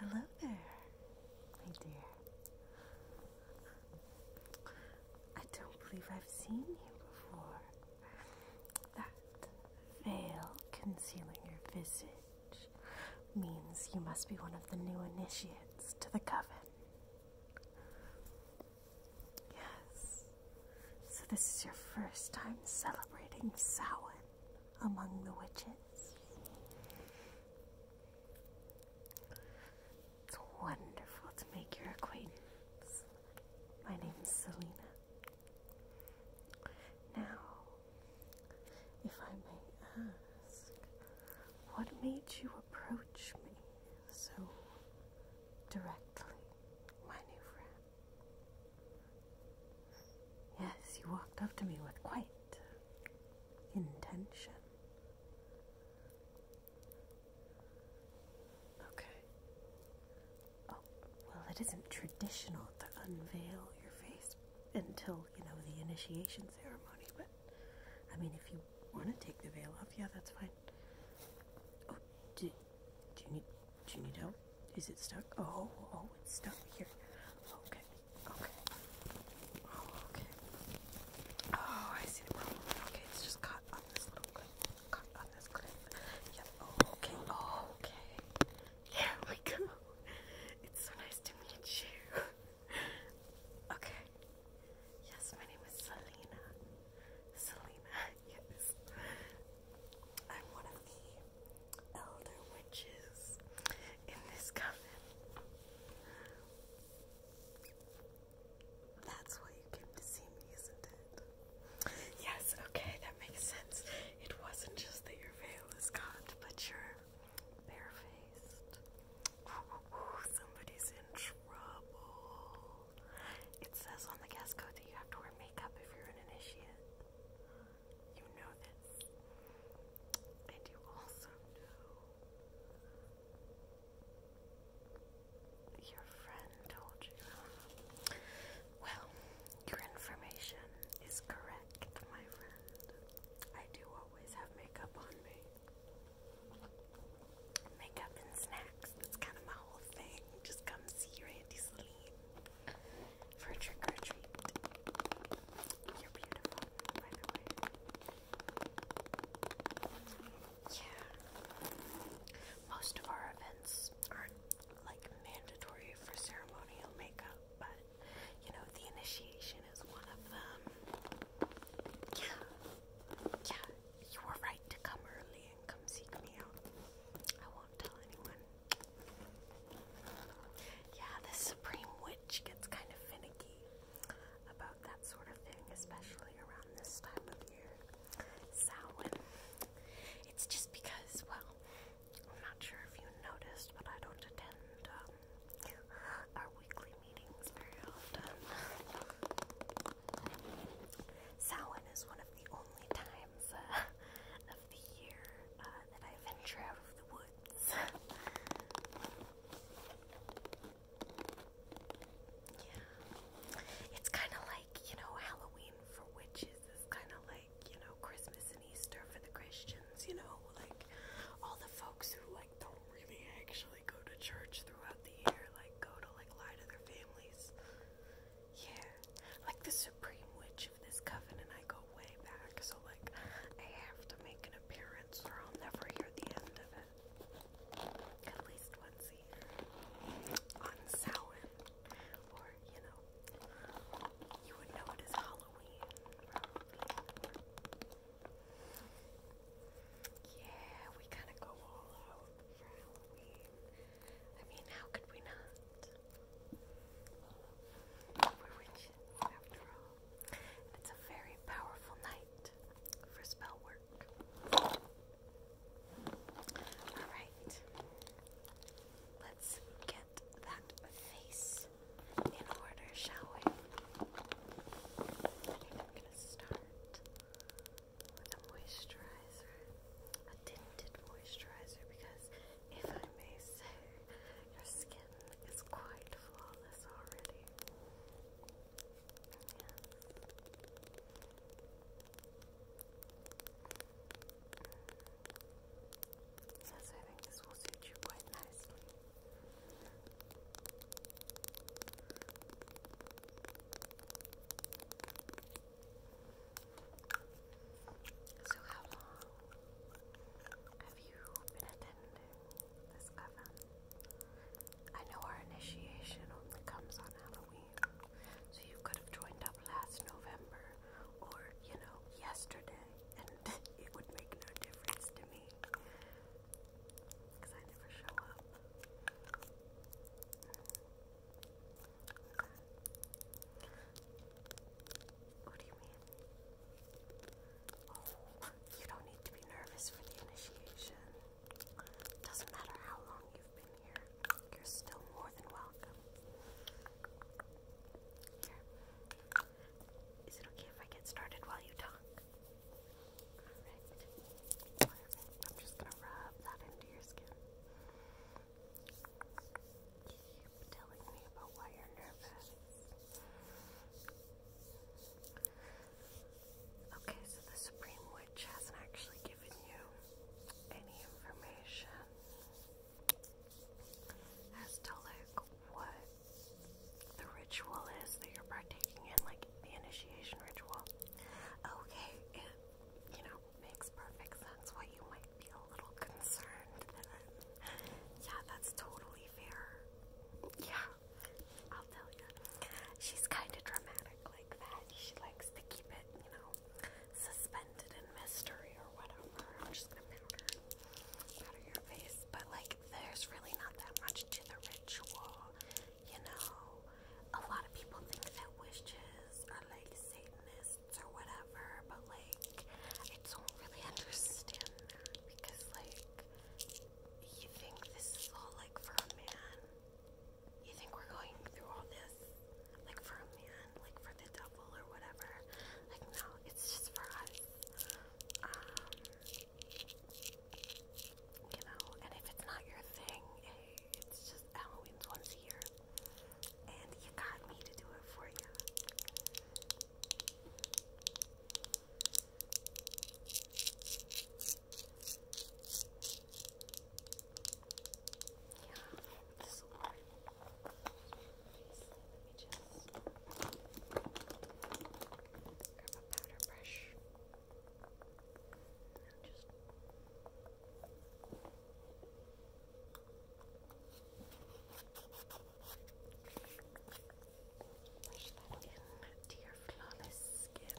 Hello there, my dear. I don't believe I've seen you before. That veil concealing your visage means you must be one of the new initiates to the coven. Yes. So this is your first time celebrating Samhain among the witches. It's wonderful to make your acquaintance. My name is Selena. Now, if I may ask, what made you approach me so directly, my new friend? Yes, you walked up to me with quite intention. Okay. Oh, well, it isn't traditional to unveil your face until you know, the initiation ceremony. But I mean, if you want to take the veil off, yeah, that's fine. Oh, do, do you need do you need help? Is it stuck? Oh, oh, it's stuck here. Okay, okay, oh, okay. Oh, I see the problem. Okay, it's just caught on this little clip. Caught on this clip. Yep. okay. okay. There we go. It's so nice to meet you. okay. Yes, my name is Selena. Selena, yes. I'm one of the elder witches in this coven. That's why you came to see me, isn't it? Yes, okay, that makes sense. It wasn't just that your veil is gone, but your Barefaced. Ooh, somebody's in trouble. It says on the guest code that you have to wear makeup if you're an initiate. You know this. And you also know your friend told you. Well, your information is correct, my friend. I do always have makeup on me. Makeup and snacks, that's kind of my whole thing. Just come see your Auntie for a trick or treat. You're beautiful, by the way. Yeah. Most of our events aren't like mandatory for ceremonial makeup, but you know, the initiation is one of them. Yeah, yeah, you were right to come early and come seek me out. I won't tell anyone. Yeah, the Supreme Witch gets kind of finicky about that sort of thing, especially around this time of year. Samhain. Um, it's just because, well, I'm not sure if you noticed, but I don't attend um, our weekly meetings very often. Samhain is one of the only times uh, of the year uh, that I venture out of the woods. yeah. It's kind of like, you know, Halloween for witches is kind of like, you know, Christmas and Easter for the Christians, you know, like all the folks who like don't really actually go to church throughout the year, like go to like lie to their families. Yeah. Like the supreme witch of this covenant I go way back, so like I have to make an appearance or I'll never hear the end of it. At least once a year. On Samhain. Or, you know, you would know it is Halloween, Yeah, we kind of go all out for Halloween. I mean, how could we not? We're witches, after all. it's a very powerful night for spell work. Alright. Let's get that face in order, shall we? I am gonna start with a moisturizer, a tinted moisturizer, because if I may say, your skin is quite flawless already. Yes, I think this will suit you quite nicely. So, how long have you been attending this coven? I know our initiation only comes on Halloween, so you could have joined up last November or, you know, yesterday, and it would make no difference to me because I never show up. What do you mean? Oh, you don't need to be nervous for the initiation. Doesn't matter how long you've been here. You're still more than welcome. Here. Is it okay if I get started while you talk? Alright. I'm just gonna rub that into your skin. Keep telling me about why you're nervous. Okay, so the Supreme Witch hasn't actually given you any information as to like what the ritual is that you're partaking in, like the initiation ritual. Okay, it you know makes perfect sense why you might be a little concerned. yeah, that's totally fair. Yeah, I'll tell you. She's kind of dramatic like that. She likes to keep it, you know, suspended in mystery or whatever. I'm just gonna powder your face, but like there's really not that much to the ritual, you know. A lot of people think that witches are like Satanists or whatever, but like I don't really understand that because like you think this is all like for a man. You think we're going through all this like for a man, like for the devil or whatever. Like no, it's just for us. Um, you know, and if it's not your thing, hey, it's just Halloween's once a year, and you got me to do it for you. Yeah this one. let me just grab a powder brush and just. Brush that in to your flawless skin.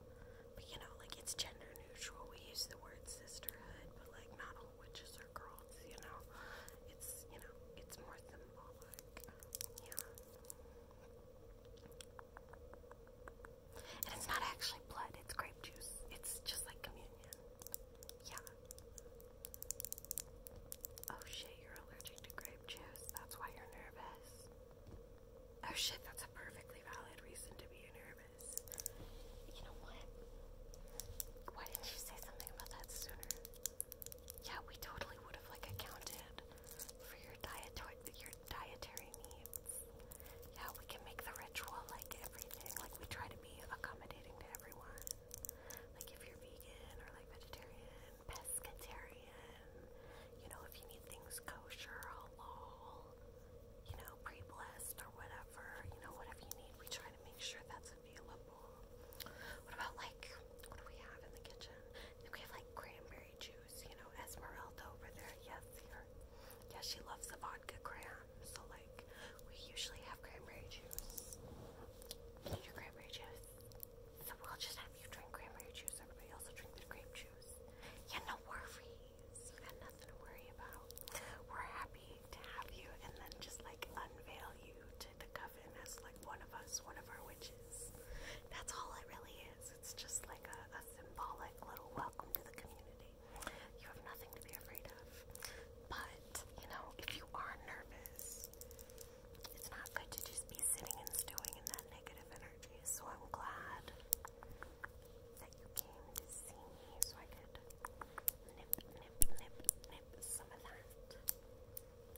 But you know, like it's gender neutral. We use the word sisterhood, but like not all witches are girls, you know? It's, you know, it's more symbolic. Yeah. And it's not actually blood, it's grape juice. It's just like communion. Yeah. Oh shit, you're allergic to grape juice. That's why you're nervous. Oh shit, that's a perfectly valid reason to be a nervous nervous. You know what? Why didn't you say something about that sooner? Yeah, we totally would have like accounted for your dietary your dietary needs. Yeah, we can make the ritual like everything. Like we try to be accommodating to everyone. Like if you're vegan or like vegetarian, pescatarian, you know, if you need things kosher, halal, you know, pre-blessed or whatever, you know, whatever you need, we try to make sure that's available. What about like, what do we have in the kitchen? I we have like cranberry juice, you know, Esmeralda over there, yes, here. Yeah, she loves the vodka cran, so like, we usually have cranberry juice. need your cranberry juice? So we'll just have you drink cranberry juice, everybody else will drink the grape juice. Yeah, no worries please. You got nothing to worry about. We're happy to have you and then just like unveil you to the coven as like one of us, one of our witches. That's all it really is. It's just like a symbolic little welcome to the community. You have nothing to be afraid of. But, you know, if you are nervous, it's not good to just be sitting and stewing in that negative energy. So I'm glad that you came to so I could nip, nip, nip, nip some of that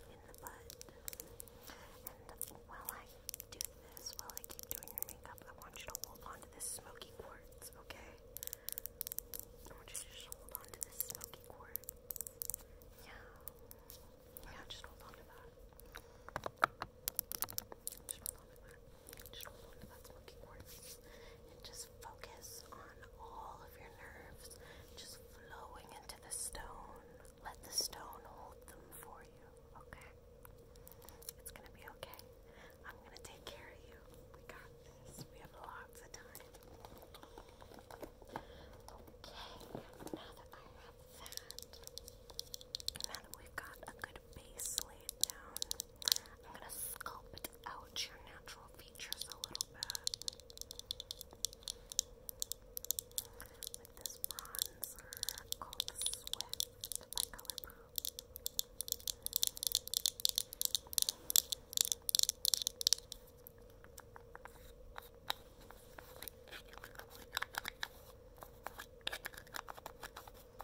in the bud. And while I do this, while I keep doing your makeup, I want you to hold on to this smoky quartz, okay? I want you to just hold on this smoky quartz. Yeah. Yeah, just hold on that. Just focus on all of your nerves just flowing into the stone. Let the stone hold them for you, okay? It's gonna be okay. I'm gonna take care of you. We got this. We have lots of time. Okay, now that I have that, now that we've got a good solid base laid down. I'm gonna sculpt out your natural features a little bit with this bronzer called Swift by Colourpop.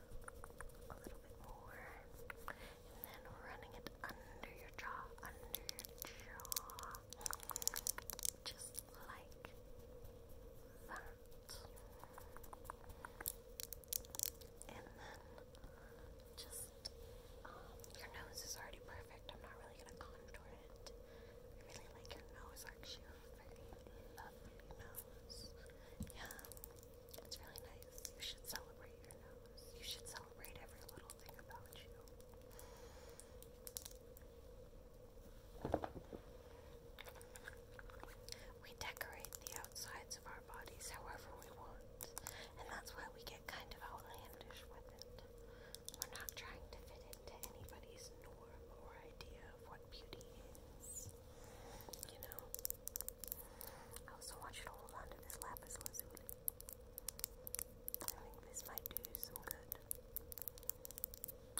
a little bit more, and then running it under your jaw, under your jaw, just like that, and then just um, your nose is already perfect. I'm not really gonna contour it. I really like your nose actually yeah, it's really nice. You should celebrate your nose. You should celebrate every little thing about you. We decorate the outsides of our bodies however we want, and that's why we get kind of outlandish with it. We're not trying to fit into anybody's norm or idea of what beauty is. You know? I also want you to hold on to this lapis lazuli. I think this might do you some good.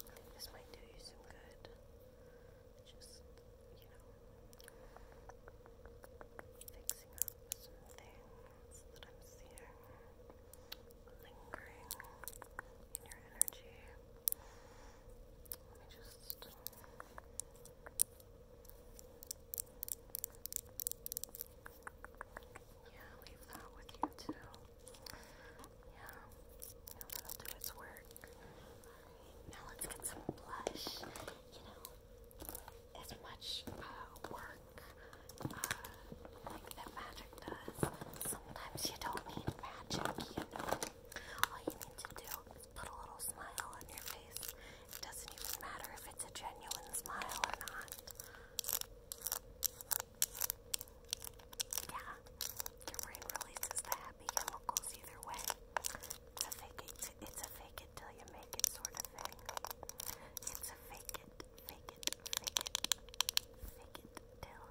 I think this might do you some good. Just, you know, fixing up some things that I'm seeing lingering in your energy. Let me just. Uh, yeah, leave that with you too. Yeah, that'll do its work. Now let's get some blush. You know, as much work uh, like that magic does, sometimes you don't need magic, all you need to do put a little smile on your face. It doesn't even matter if it's a genuine smile or not. Yeah, your brain releases the happy chemicals either way. It's fake it, it's a fake it till you make it sort of thing. It's a fake it, fake it, fake it, fake it till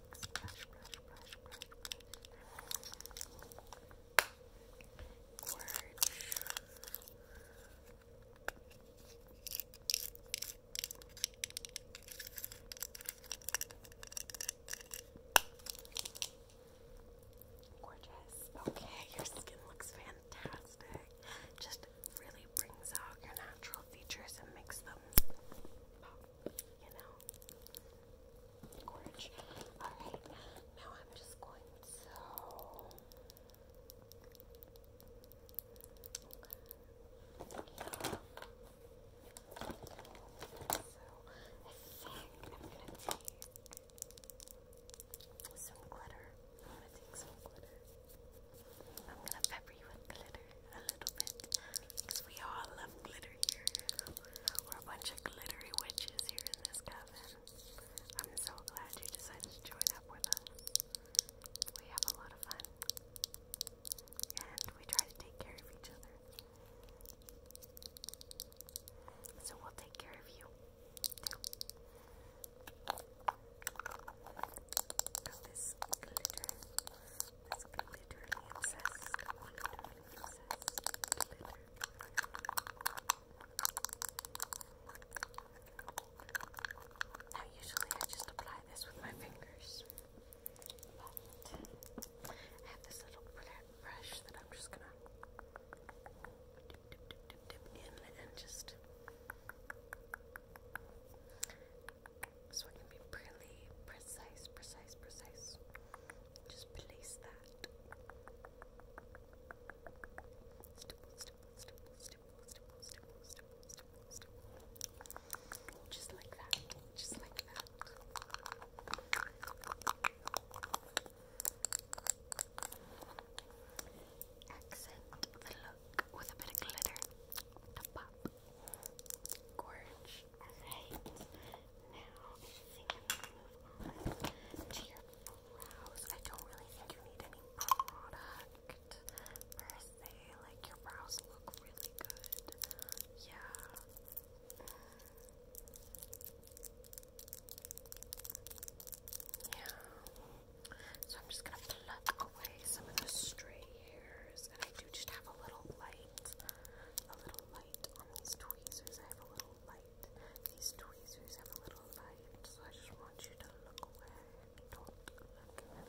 brush, brush, brush, Gorgeous. Okay, your skin looks fantastic. Just really brings out your natural features and makes them you know, gorge. Alright, now I'm just going to. Okay. So, I am going to take some glitter. I'm going to take some glitter. I'm going to pepper you with glitter a little bit because we all love glitter here. We're a bunch of glittery witches here in this cabin. I'm so glad you decided to join up with us. We have a lot of fun. And we try to take care of each other. So we'll take care of you this glitter. Now, usually I just apply this with my fingers, but I have this little brush that I'm just gonna dip, dip, dip, dip, dip in and just so we're be really precise, precise, precise. Just place that. Just like that. Just like that. Accent the look with a bit of glitter to pop. Gorge. Alright, now I think I'm going to move on to your brows. I don't really think you need any product per se. Like, your brows look really good. Yeah. Yeah. So I'm just going to pluck away some of the stray hairs. And I do just have a little light a little light on these tweezers. I have a little light. These tweezers have a little light, so I just want you to look at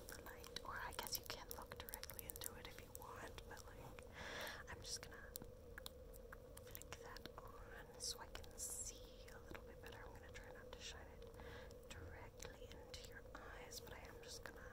the light. Or I guess you can look directly into it if you want, but like, I'm just gonna flick that on so I can see a little bit better. I'm gonna try not to shine it directly into your eyes, but I am just gonna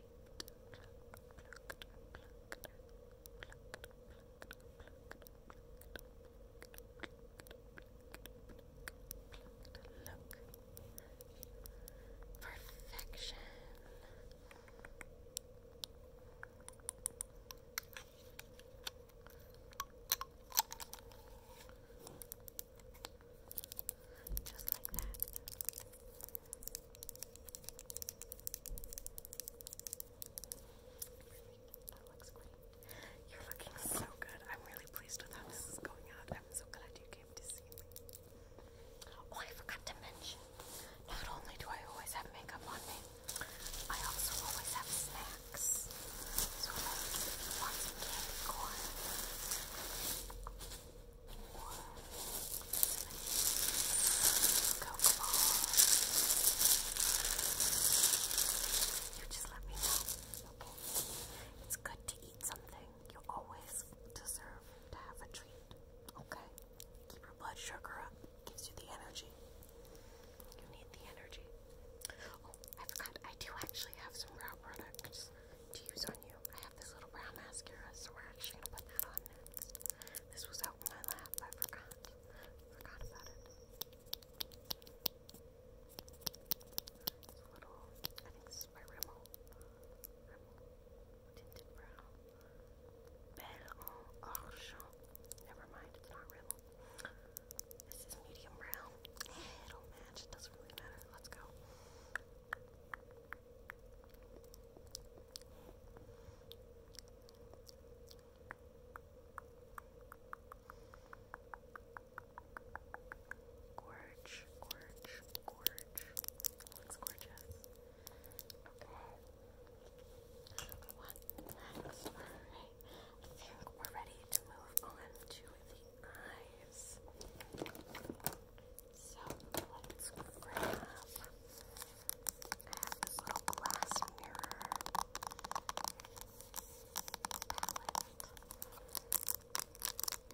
shake. Look. Perfection. Just like that. That looks great. You're looking so good. I'm really pleased with how this is going out. I'm so glad you came to see me. Oh, I forgot to mention. Not only do I always have makeup on me, I also always have snacks. So if you want candy corn, you just let me know. It's good to eat something. You always deserve to have a treat. Okay? Keep your blood sugar up. Gives you the energy. You need the energy. Oh, I forgot. I do actually have some brow product to use on you. I have this little brown mascara, so we're actually gonna put that on This was out in my lap, I forgot. Forgot about it. It's a little, I think this is my Rimmel. Rimmel tinted brow. Never mind, it's not Rimmel. This is medium brown. It'll match, doesn't really matter. Let's go. Gorge, gorge, gorge. Looks gorgeous. Okay. What next? I think we're ready to move on to the eyes. So let's grab. I have this little glass mirror palette. Love the front, it has a really cool effect. Let's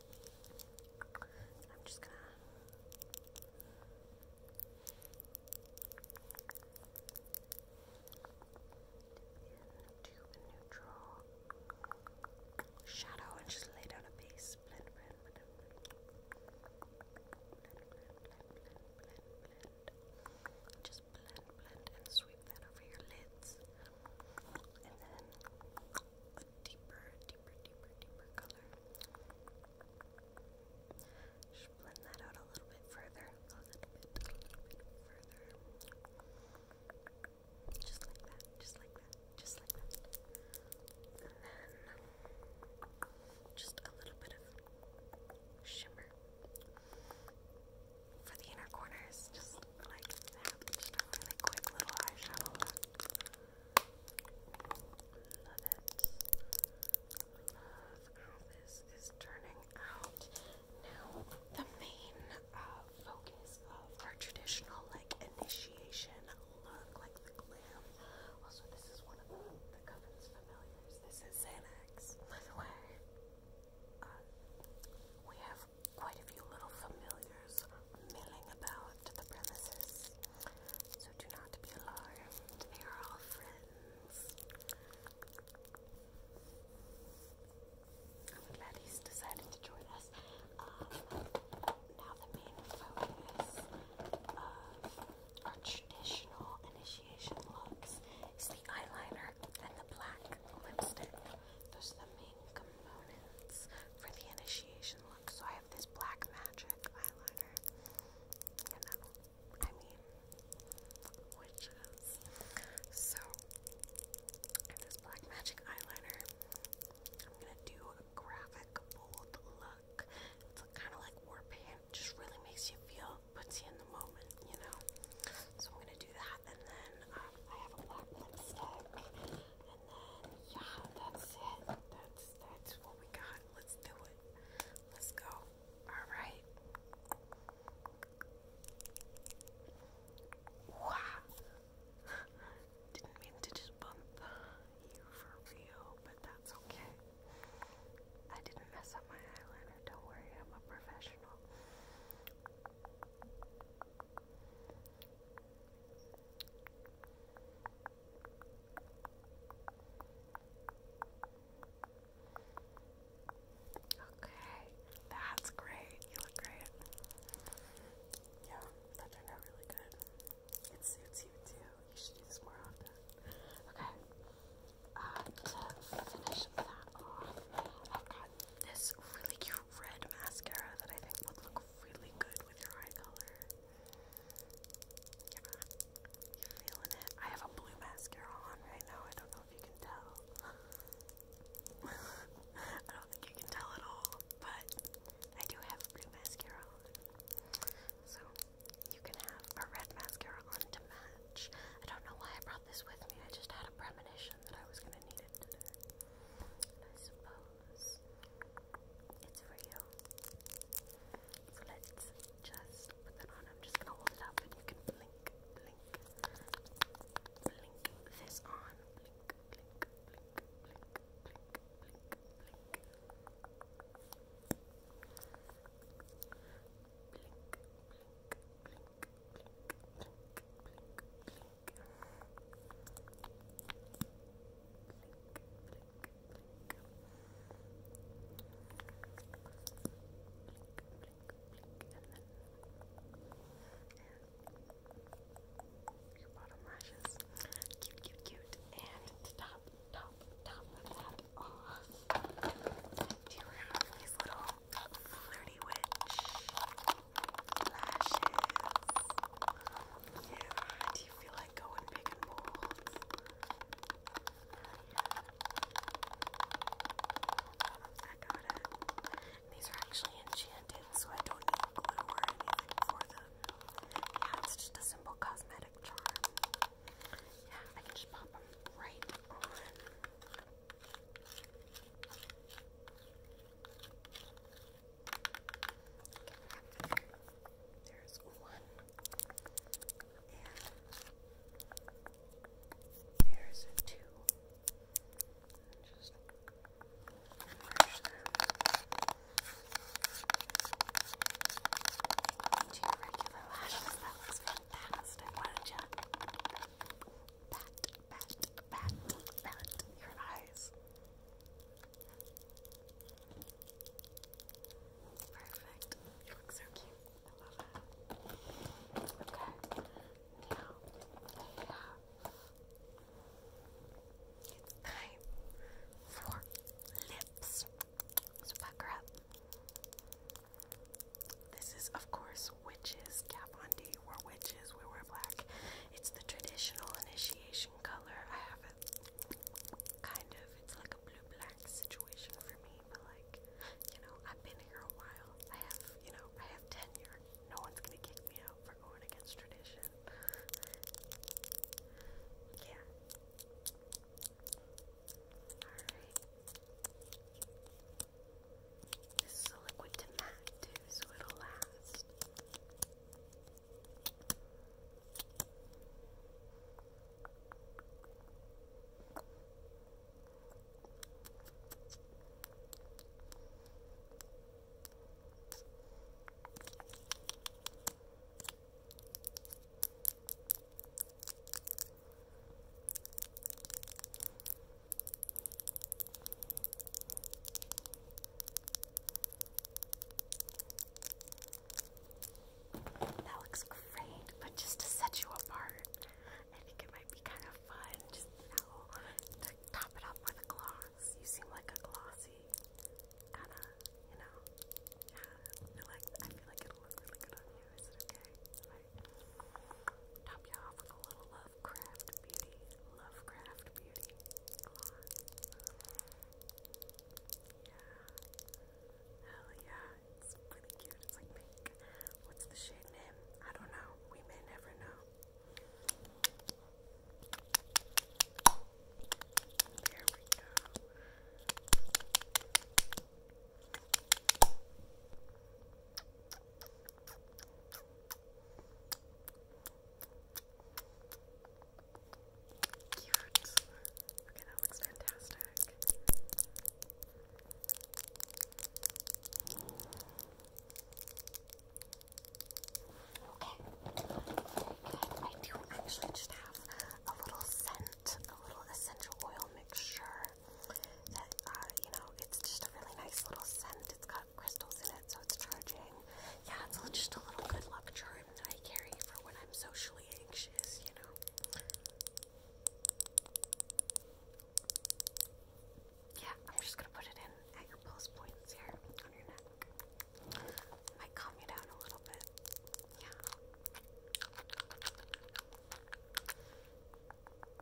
I'm just gonna dip neutral shadow and just lay down a base. Blend, blend, blend, blend, blend, blend, blend, blend. Just blend, blend, and sweep that over your lids, and then deeper, deeper, deeper, deeper color. Just blend that out a little bit further, a little bit, further. Just like that, just like that, just like that. And then just a little bit of shimmer for the inner corners, just like that. Just a really quick little eyeshadow Love it. Love how this is turning out. Now, the main uh, focus of our traditional like initiation look, like the glam. Also, this is one of the, the familiars. This is Xanax, by the way. Uh, we have quite a few little familiars milling about the premises, so do not be alarmed, they are all friends. I'm glad he's decided to join us. Um, now the main focus of our traditional initiation looks is the eyeliner and the black lipstick. Those are the main components for the initiation. So I have this black magic eyeliner. Um, I mean, witches. So this black magic eyeliner. I'm gonna do a graphic bold look. It's kind of like war paint. Just really makes you feel, puts you in the moment. You know. So I'm gonna do that, and then um, I have a black lipstick. And then yeah, that's it. That's that's what we got. Let's do it. Let's go. Alright. Didn't mean to just bump you for real, but that's okay. I didn't mess up my eyeliner, don't worry, I'm a professional. Okay, that's great. You look great. Yeah, that turned out really good. It suits you too. You should do this Okay, um, to finish that off, I've got this really cute red mascara that I think would look really good with your eye color. Yeah, you feeling it? I have a blue mascara on right now. I don't know if you can tell. I don't think you can tell at all, but I do have blue mascara on. So you can have a red mascara on to match. I don't know why I brought this with me. I just had a premonition that I was gonna need it today. I suppose it's for you. So let's just put that on. I'm just gonna hold it up and you can blink, blink, blink this on. Blink, blink, blink, blink, blink, blink, blink. Blink, blink, blink, blink, blink, blink, blink your bottom lashes. Cute, cute, cute. And the top, top, top of that off. Do you have these little flirty witch do you feel like going big and bold? I got it. These are actually enchanted, so I don't need glue or anything for them. Yeah, it's just a simple cosmetic charm. Yeah, I just pop them right on. There's one. And there's two. Just brush them. Do your regular lashes. That looks fantastic. Why don't you bat, bat, bat, your eyes. Perfect. You look so cute. I love it. Okay. Now they have it's lips. So pucker up. This is, of course, witches. Kat were witches. We were black. It's the traditional initiation color. I have Kind of. It's like a blue black situation for me, but like, you know, I've been here a while. I have, you know, I have tenure. No one's gonna kick me out for going against tradition. yeah. Alright. This is a liquid to match too, so it'll last. That looks great, but just to set you apart, I think it might be kind of fun. Just you know, top it up with a gloss. You seem like a glossy kind of, you know. Yeah, I feel like it'll look really good on you. okay? top you off with a little Lovecraft Beauty, Lovecraft Beauty. Come on. Yeah. Hell yeah. It's really cute. It's like pink. What's the shade name? I don't know. We may never know. There we go. Cute. Okay, that looks fantastic. Okay, good. I do actually just have a little scent, a little essential oil mixture that uh, you know, it's just a really nice little scent. It's got crystals in it, so it's charging. Yeah, it's just a little good luck charm that I carry for when I'm socially anxious, you know. Yeah, I'm just gonna put it in at your pulse points here on your neck. Might calm you down a little bit. Yeah.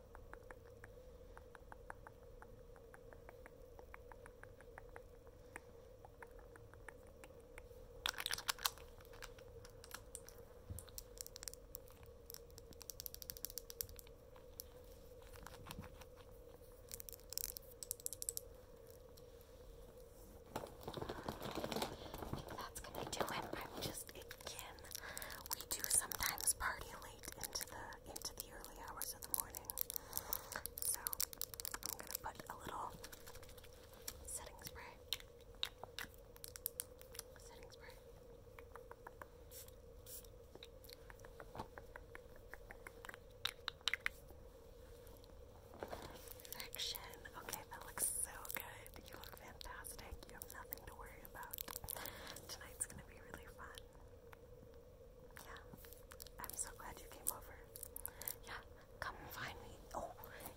I think that's gonna do it. I'm just it we do sometimes party late into the into the early hours of the morning. So I'm gonna put a little setting spray. Setting spray. Perfection. Okay, that looks so good. You look fantastic. You have nothing to worry about. Tonight's gonna really fun. Yeah, I'm so glad you came over. Yeah, come find me. Oh,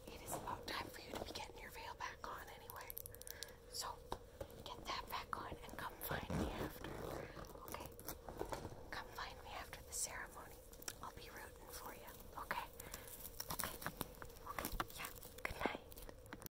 it is time for you to be getting your veil back on anyway. So, get that back on and come find me after. Okay? Come find me after the ceremony. I'll be rooting for you. Okay? Okay. Okay. Yeah. Good night.